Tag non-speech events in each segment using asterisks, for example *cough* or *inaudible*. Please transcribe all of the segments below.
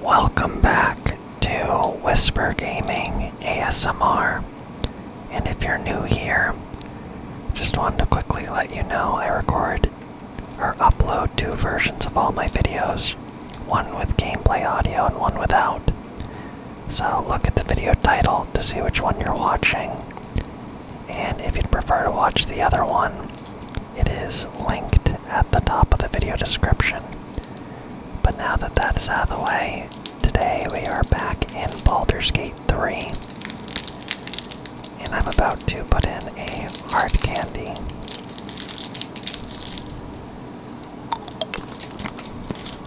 Welcome back to Whisper Gaming ASMR. And if you're new here, just wanted to quickly let you know I record or upload two versions of all my videos one with gameplay audio and one without. So look at the video title to see which one you're watching. And if you'd prefer to watch the other one, it is linked at the top of the video description. But now that that is out of the way, today we are back in Baldur's Gate 3. And I'm about to put in a hard candy.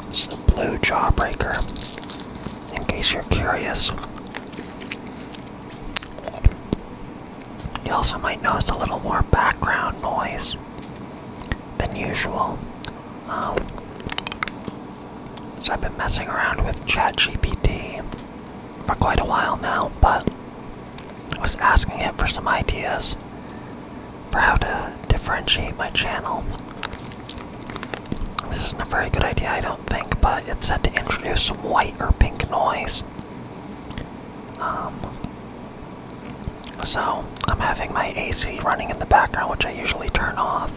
It's a blue jawbreaker, in case you're curious. You also might notice a little more background noise than usual. Um, so I've been messing around with ChatGPT for quite a while now, but I was asking it for some ideas for how to differentiate my channel. This isn't a very good idea, I don't think, but it said to introduce some white or pink noise um, so I'm having my AC running in the background, which I usually turn off.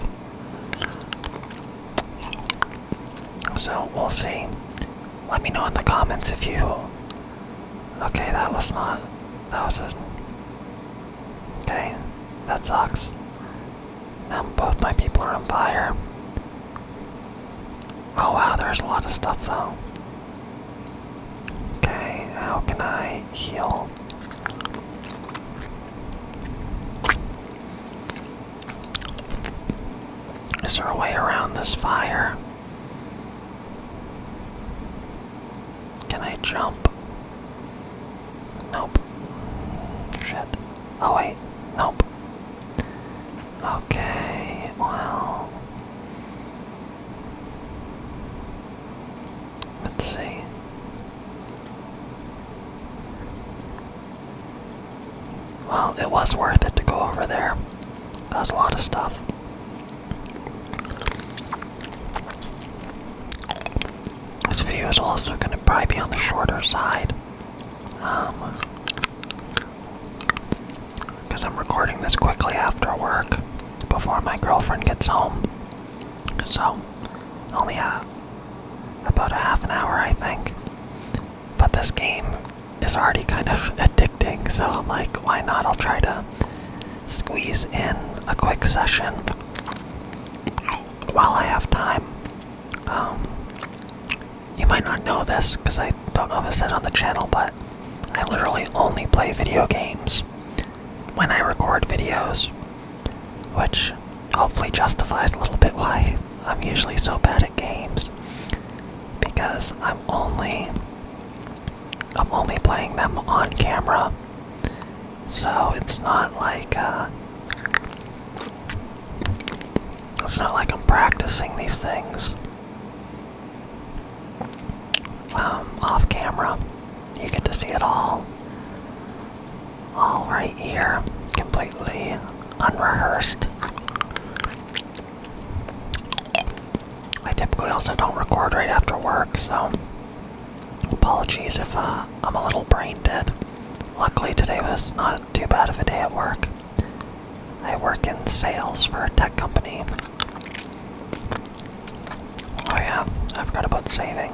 So we'll see. Let me know in the comments if you. Okay, that was not. That was a. Okay, that sucks. Now both my people are on fire. Oh wow, there's a lot of stuff though. Okay, how can I heal? Is there a way around this fire? Can I jump? Nope. Shit. Oh wait, nope. Okay, well. Let's see. Well, it was worth it to go over there. That was a lot of stuff. This video is also going to probably be on the shorter side because I'm recording this quickly after work, before my girlfriend gets home. So, only a, about a half an hour, I think. But this game is already kind of *laughs* addicting, so I'm like, why not? I'll try to squeeze in a quick session while I have time. Um, you might not know this because I don't know if I said on the channel, but I literally only play video games when I record videos, which hopefully justifies a little bit why I'm usually so bad at games because I'm only I'm only playing them on camera. So it's not like uh, it's not like I'm practicing these things. Um, off camera. You get to see it all, all right here, completely unrehearsed. I typically also don't record right after work, so apologies if uh, I'm a little brain dead. Luckily today was not too bad of a day at work. I work in sales for a tech company. Oh yeah, I forgot about saving.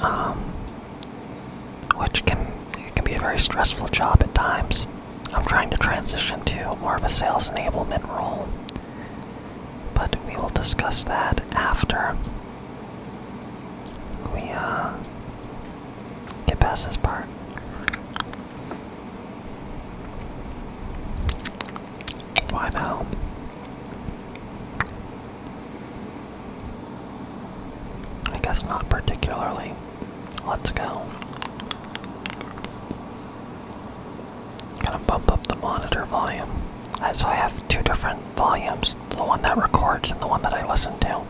Um, which can it can be a very stressful job at times. I'm trying to transition to more of a sales enablement role, but we will discuss that after. We uh, Get past this part. Why now? I guess not particularly. Let's go. Gonna bump up the monitor volume. Uh, so I have two different volumes the one that records and the one that I listen to.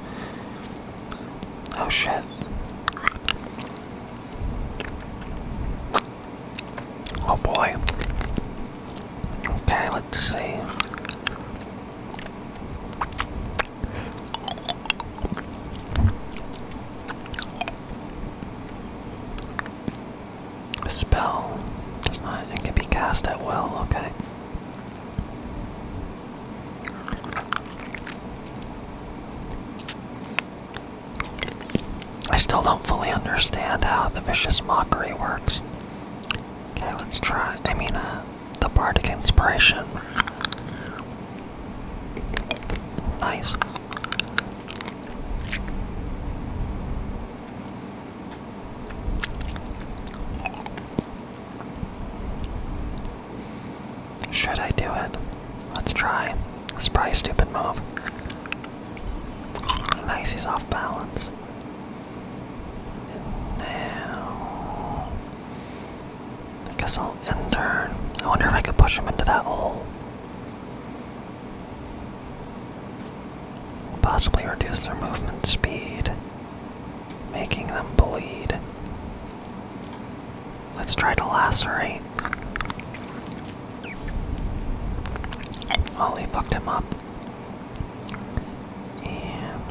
Oh shit. Oh boy. Okay, let's see. A spell does not it can be cast at will, okay. I still don't fully understand how the vicious mockery works. Okay, let's try. I mean, uh, the bardic inspiration. Nice. Should I do it? Let's try. It's probably a stupid move. Nice, he's off balance. now... I guess I'll enter. I wonder if I could push him into that hole. Possibly reduce their movement speed, making them bleed. Let's try to lacerate. Oh, fucked him up. And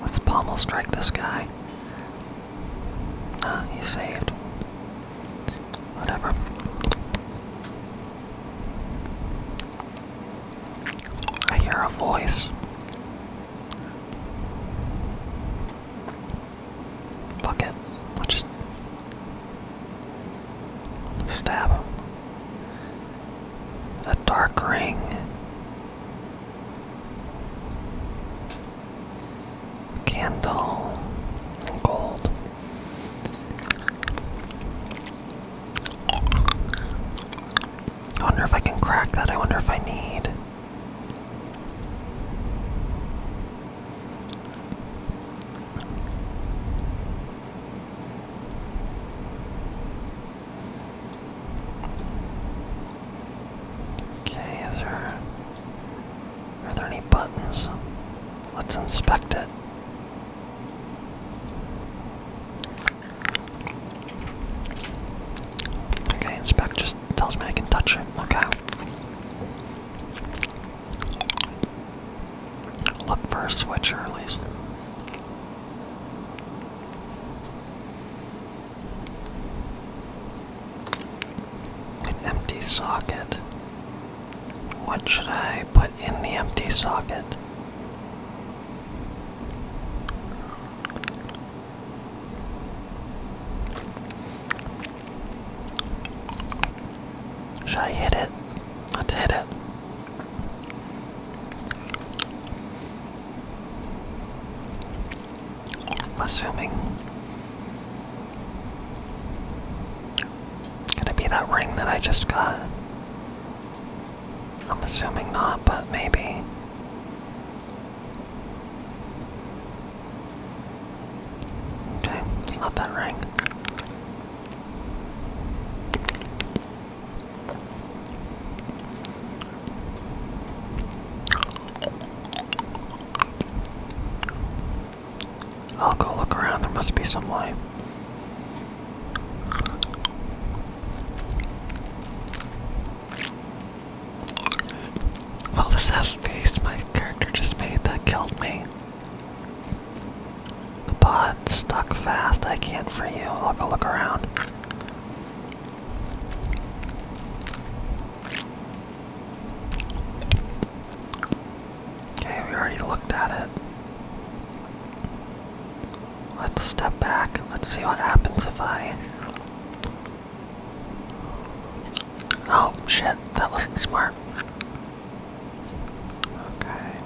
let's pommel strike this guy. Ah, he's saved. Whatever. I hear a voice. Fuck it. just stab him. A dark ring. Candle. Gold. I wonder if I can crack that. I wonder if I need. Okay, is there. Are there any buttons? Let's inspect it. Okay, inspect just tells me I can touch it. Okay. Look for a switcher at least. An empty socket. What should I put in the empty socket? Should I hit it? Let's hit it. I'm assuming it's gonna be that ring that I just got. I'm assuming not, but maybe. Okay, it's not that ring. I'll go look around, there must be some way. What was that face my character just made that killed me? The pod stuck fast. I can't free you. I'll go look around. Okay, we already looked at it. Let's step back. Let's see what happens if I. Oh shit, that wasn't smart. Okay.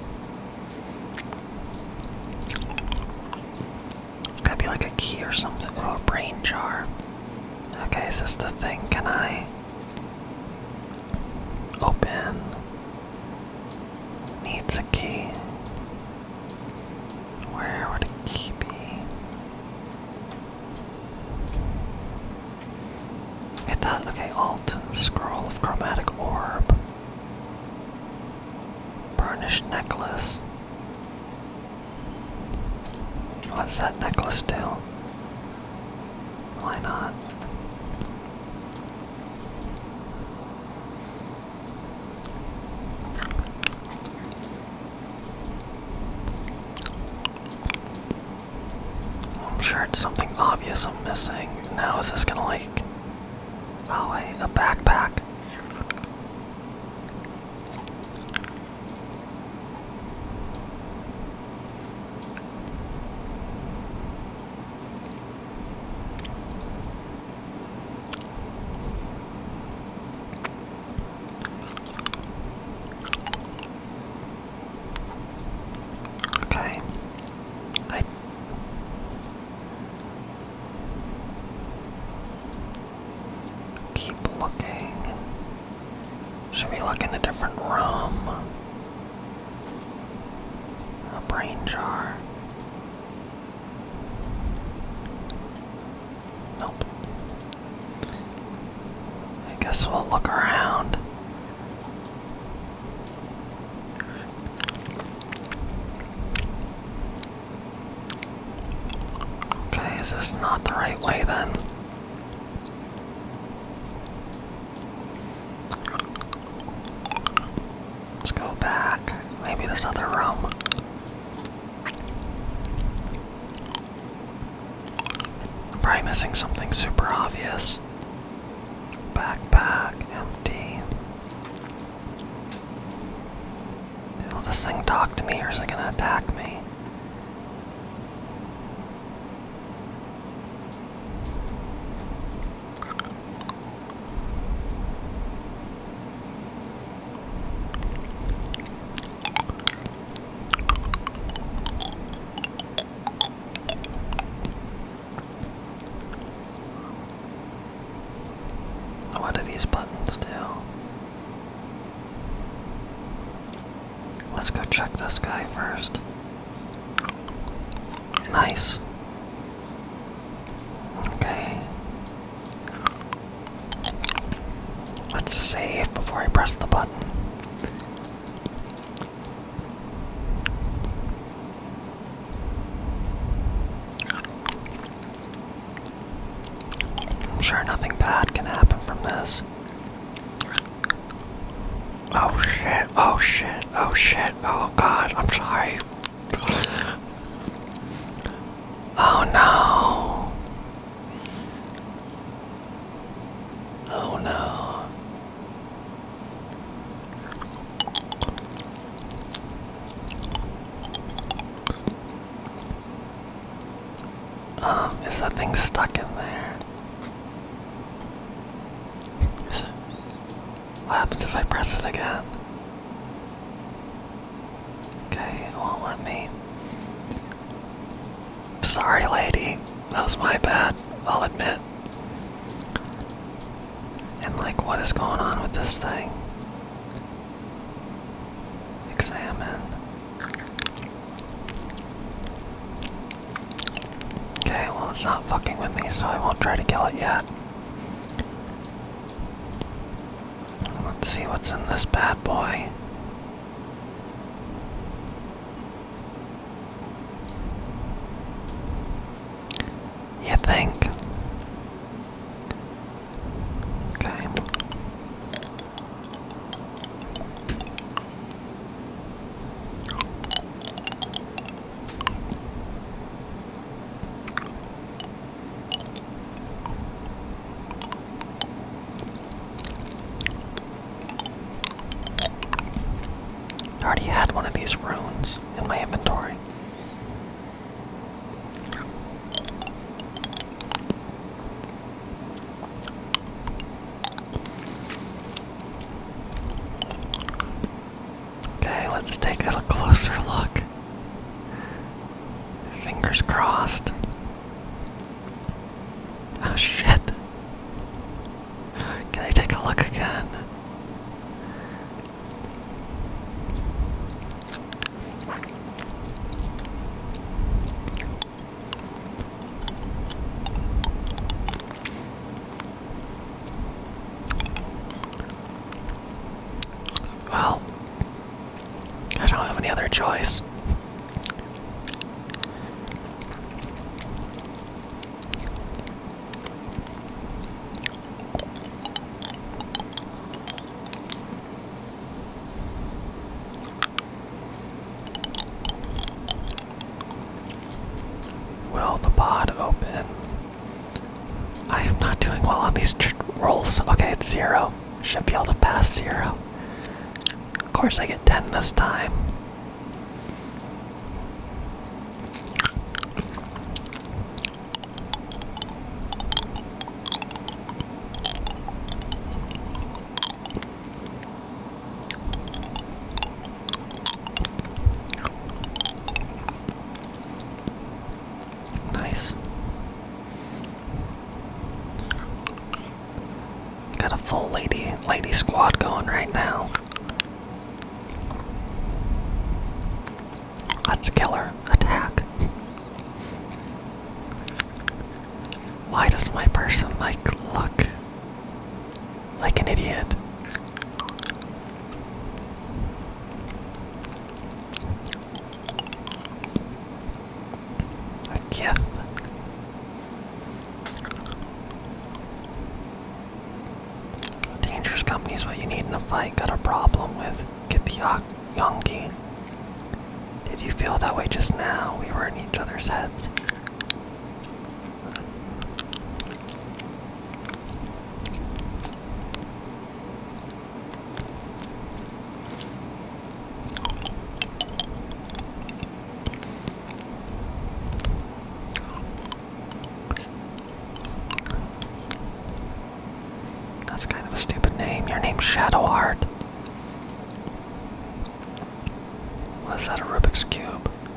Gotta be like a key or something. Oh, a brain jar. Okay, is this the thing? Can I open? Needs a key. Where would a key be? I thought, okay, Alt, Scroll of Chromatic Orb, Burnished Necklace. What does that necklace do? Why not? I'm sure it's something obvious I'm missing. Now is this gonna like oh wait, a backpack. Okay. I keep looking. Should we look in a different room? A brain jar. Nope. I guess we'll look around. Okay, is this not the right way then? Let's go back. Maybe this other room. I'm probably missing something super obvious. Backpack, empty. Will this thing talk to me or is it gonna attack me? What do these buttons do? Let's go check this guy first. Nice. Okay. Let's save before I press the button. I'm sure nothing bad can happen from this. Oh shit, oh shit, oh shit, oh god, I'm sorry. Oh no. Oh no. Um, is that thing stuck in there? What happens if I press it again? Okay, it won't let me. Sorry, lady. That was my bad, I'll admit. And, like, what is going on with this thing? Examine. Okay, well, it's not fucking with me, so I won't try to kill it yet. Let's see what's in this bad boy. You think? Okay. I already had one of these runes in my inventory. Okay, let's take a closer look. Fingers crossed. Oh shit. Can I take a look again? Well, I don't have any other choice. Will the pod open? I am not doing well on these rolls. Okay, it's zero. Should be able to pass zero. Of course, I get 10 this time. Nice. Got a full lady lady squad going right now. Let's Attack. Why does my person like look like an idiot. A gif. Dangerous company's what you need in a fight. Got a problem with. Get the Yonk Yonki. Did you feel that way just now? We were in each other's heads. That's kind of a stupid name. Your name's Shadow Art. What is that a Rubik's Cube?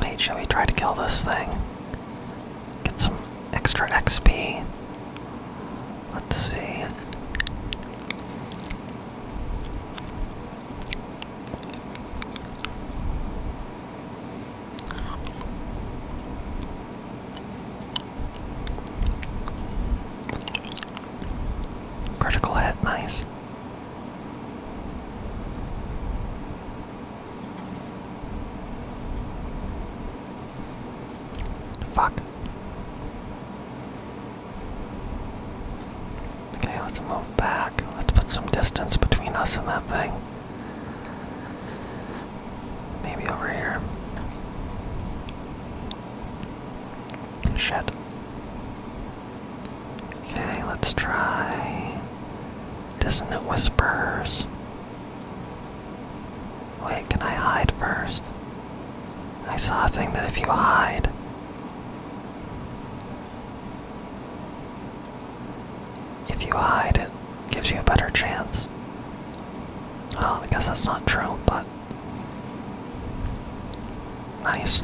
Wait, shall we try to kill this thing? Get some extra XP. Let's see. Critical hit, nice. Fuck. Okay, let's move back. Let's put some distance between us and that thing. Maybe over here. Shit. Okay, let's try Doesn't it Whispers. Wait, can I hide first? I saw a thing that if you hide. If you hide, it gives you a better chance. I guess that's not true, but. Nice.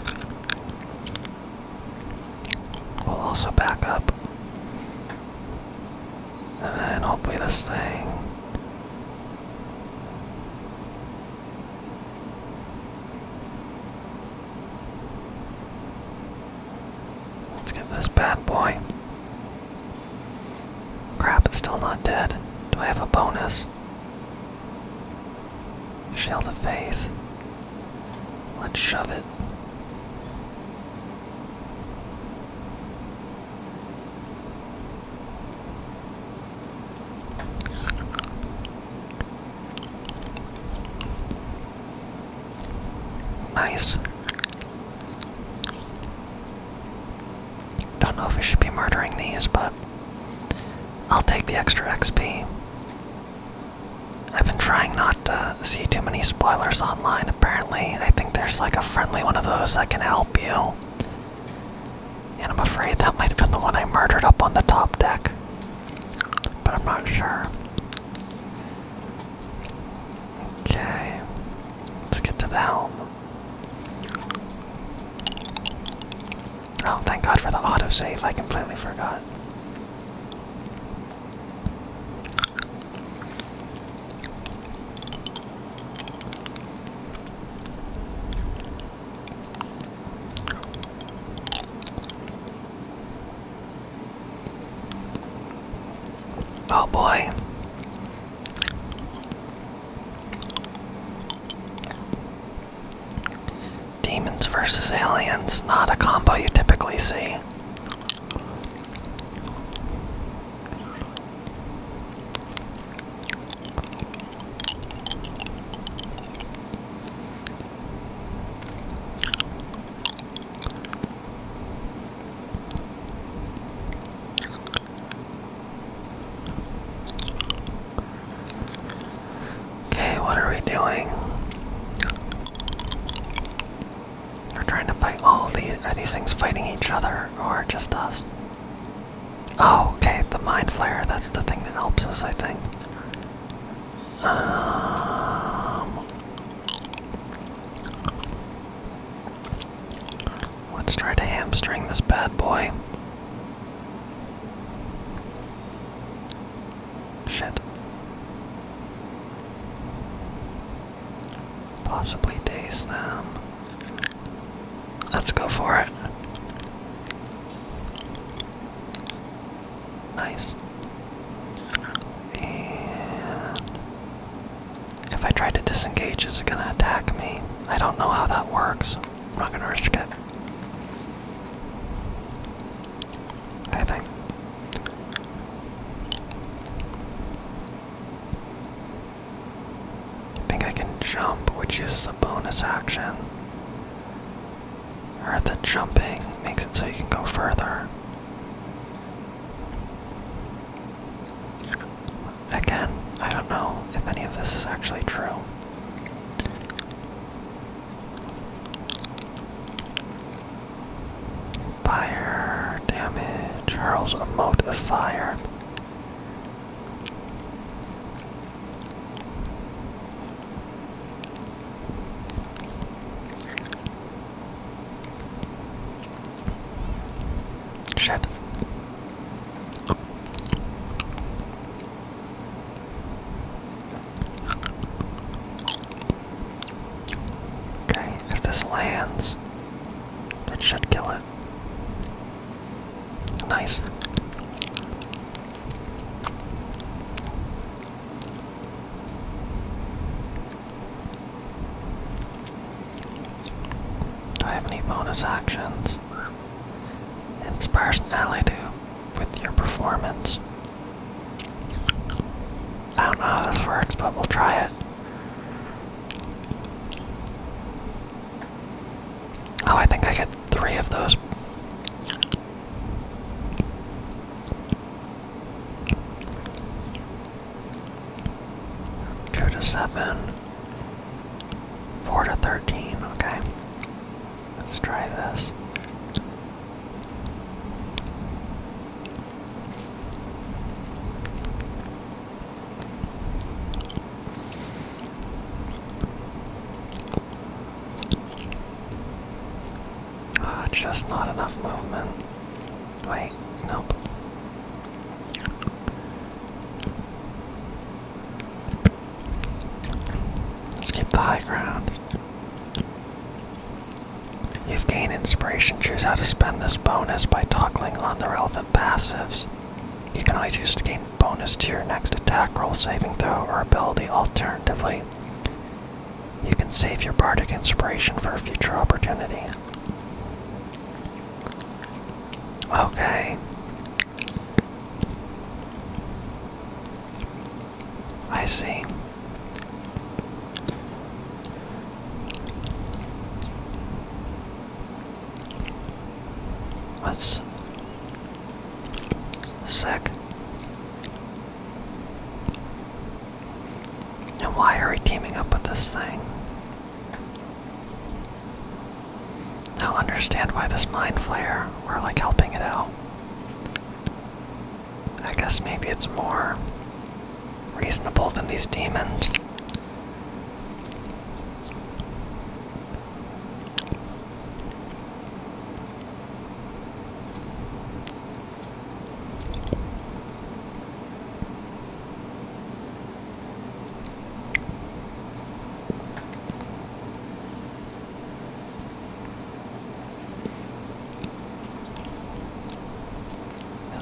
We'll also back up. And then hopefully this thing. Let's get this bad boy. Crap, it's still not dead. Do I have a bonus? Shield the Faith. Let's shove it. Nice. Don't know if we should be murdering these, but I'll take the extra XP. I've been trying not to see too many spoilers online. Apparently, I think there's like a friendly one of those that can help you. And I'm afraid that might have been the one I murdered up on the top deck. But I'm not sure. Okay. Let's get to the helm. Oh, thank God for the auto save! I completely forgot. Oh boy. Demons versus aliens, not a combo you typically see. Okay, what are we doing? We're trying to fight all these. Are these things fighting each other or just us? Oh, okay, the mind flare. That's the thing that helps us, I think. Um, let's try to hamstring this bad boy. Shit. Possibly taste them. Let's go for it. Nice. And if I try to disengage, is it gonna attack me? I don't know how that works. I'm not gonna risk it. I think. I think I can jump, which is a bonus action. Or the jumping makes it so you can go further. Again, I don't know if any of this is actually true. Fire damage hurls a mote of fire. Shit. Okay, if this lands, it should kill it. Nice. Do I have any bonus actions? its personality with your performance. I don't know how this works, but we'll try it. Oh, I think I get three of those. Two to seven, four to thirteen, okay. Let's try this. Ah, just not enough movement. Wait, nope. Keep the high ground. You've gained inspiration. Choose how to spend this bonus by toggling on the relevant passives. You can always use to gain bonus to your next attack roll, saving throw, or ability. Alternatively, you can save your bardic inspiration for a future opportunity. Okay, I see. What's sick? And why are we teaming up with this thing? Now understand why this mind flare, we're like helping it out. I guess maybe it's more reasonable than these demons.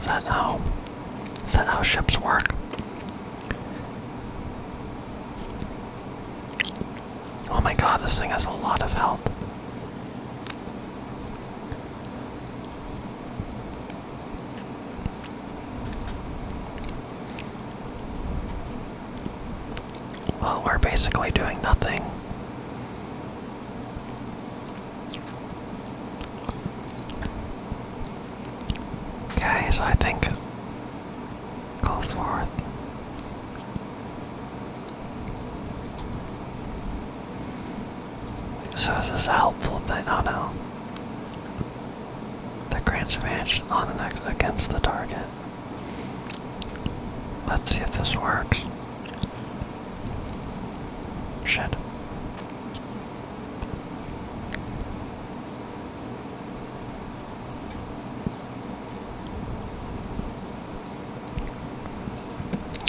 Is that how? Is that how ships work? Oh my god, this thing has a lot of help. Well, we're basically doing nothing. Okay, so I think go forth. So is this a helpful thing? Oh no. The grants advantage on the next against the target. Let's see if this works. Shit.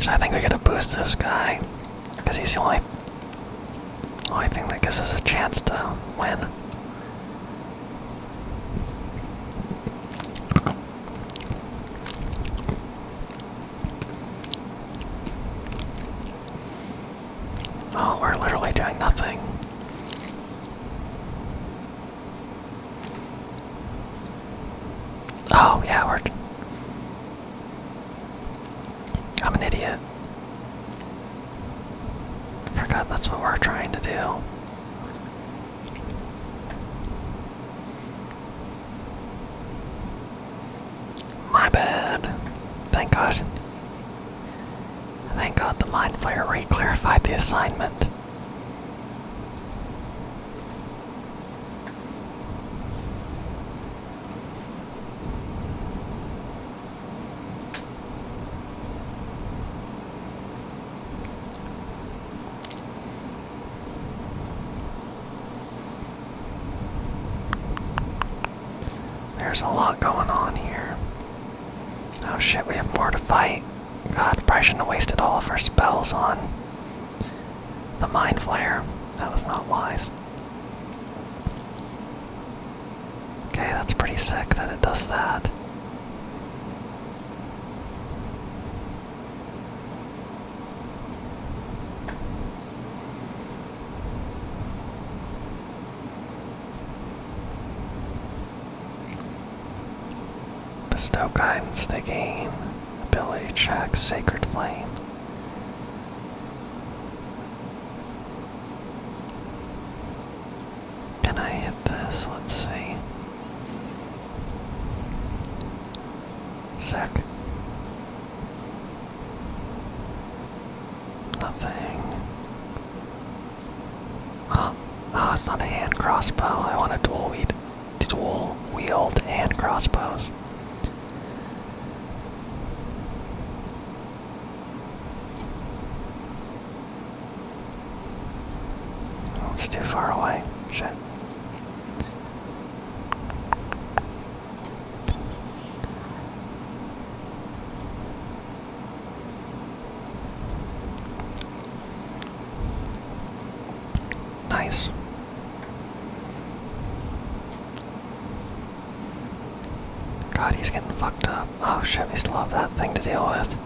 I think we gotta boost this guy, because he's the only, only thing that gives us a chance to win. Oh, we're literally doing nothing. Oh, yeah, we I'm an idiot. I forgot that's what we're trying to do. My bad. Thank God. Thank God the Mind fire reclarified the assignment. There's a lot going on here. Oh shit, we have more to fight. God, probably shouldn't have wasted all of her spells on the Mind Flare. That was not wise. Okay, that's pretty sick that it does that. The Stoke they gain ability check, Sacred Flame. Can I hit this? Let's see. Sec. Nothing. Huh. *gasps* Oh, it's not a hand crossbow. I want a dual wheat dual wield hand crossbows it's too far away. Shit. Nice. God, he's getting fucked up. Oh shit, we still have that thing to deal with.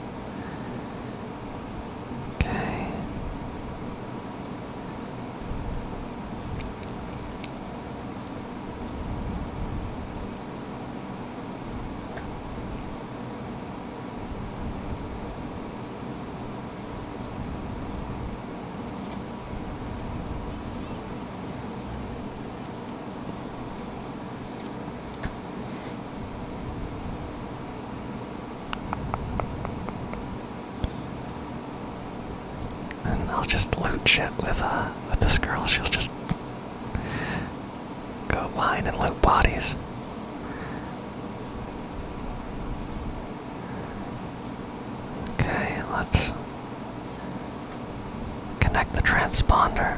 Okay. I'll just loot shit with uh with this girl. She'll just go mine and loot bodies. Okay, let's Connect the transponder.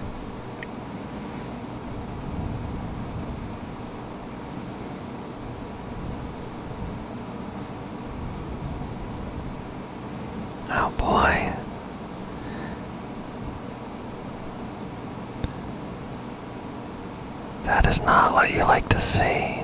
Oh boy. That is not what you like to see.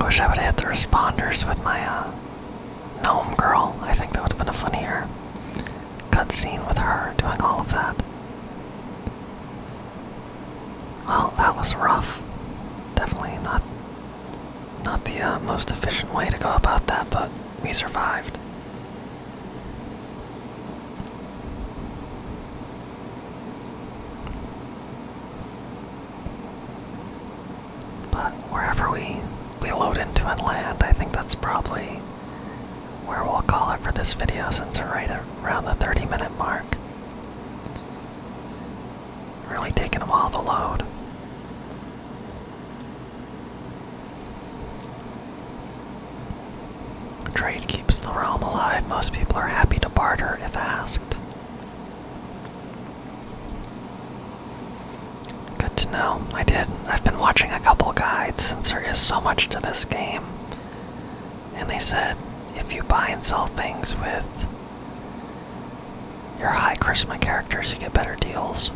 I wish I would have had the responders with my uh, gnome girl. I think that would have been a funnier cutscene with her doing all of that. Well, that was rough. Definitely not not the uh, most efficient way to go about that, but we survived. But wherever we we load into and land, I think that's probably where we'll call it for this video since we're right around the 30 minute mark. Really taking them all the load. Trade keeps the realm alive. Most people are happy to barter if asked. Good to know. I did. I've been watching a couple guides since there is so much to this game. And they said if you buy and sell things with you Your high charisma characters, you get better deals.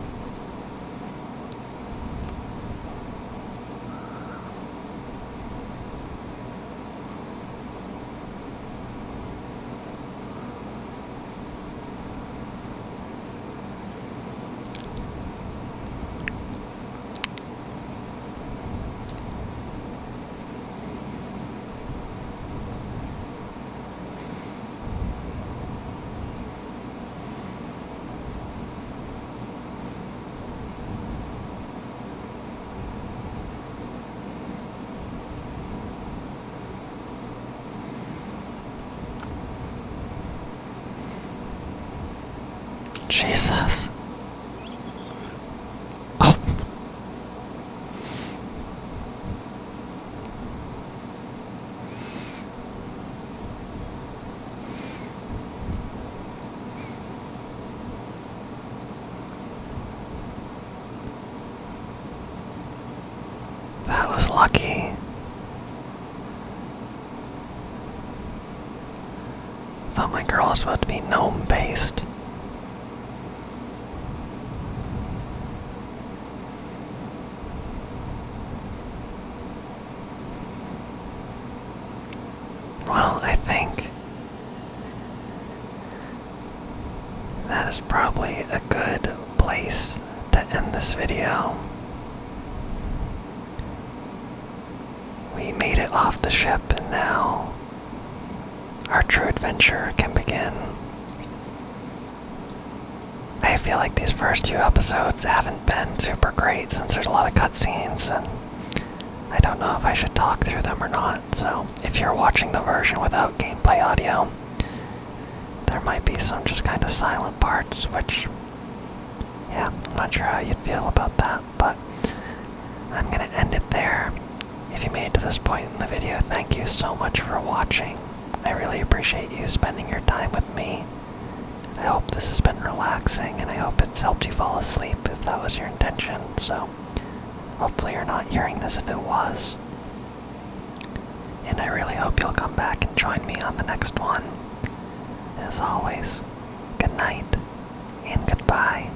Jesus. Oh. That was lucky. Thought my girl was about to be gnome based. Well, I think that is probably a good place to end this video. We made it off the ship, and now our true adventure can begin. I feel like these first few episodes haven't been super great since there's a lot of cutscenes, and I don't know if I should talk through them or not. So, if you're watching the version without gameplay audio, there might be some just kind of silent parts, which, yeah, I'm not sure how you'd feel about that, but I'm gonna end it there. If you made it to this point in the video, thank you so much for watching. I really appreciate you spending your time with me. I hope this has been relaxing and I hope it's helped you fall asleep if that was your intention. So, hopefully, you're not hearing this if it was. And I really hope you'll come back and join me on the next one. As always, good night and goodbye.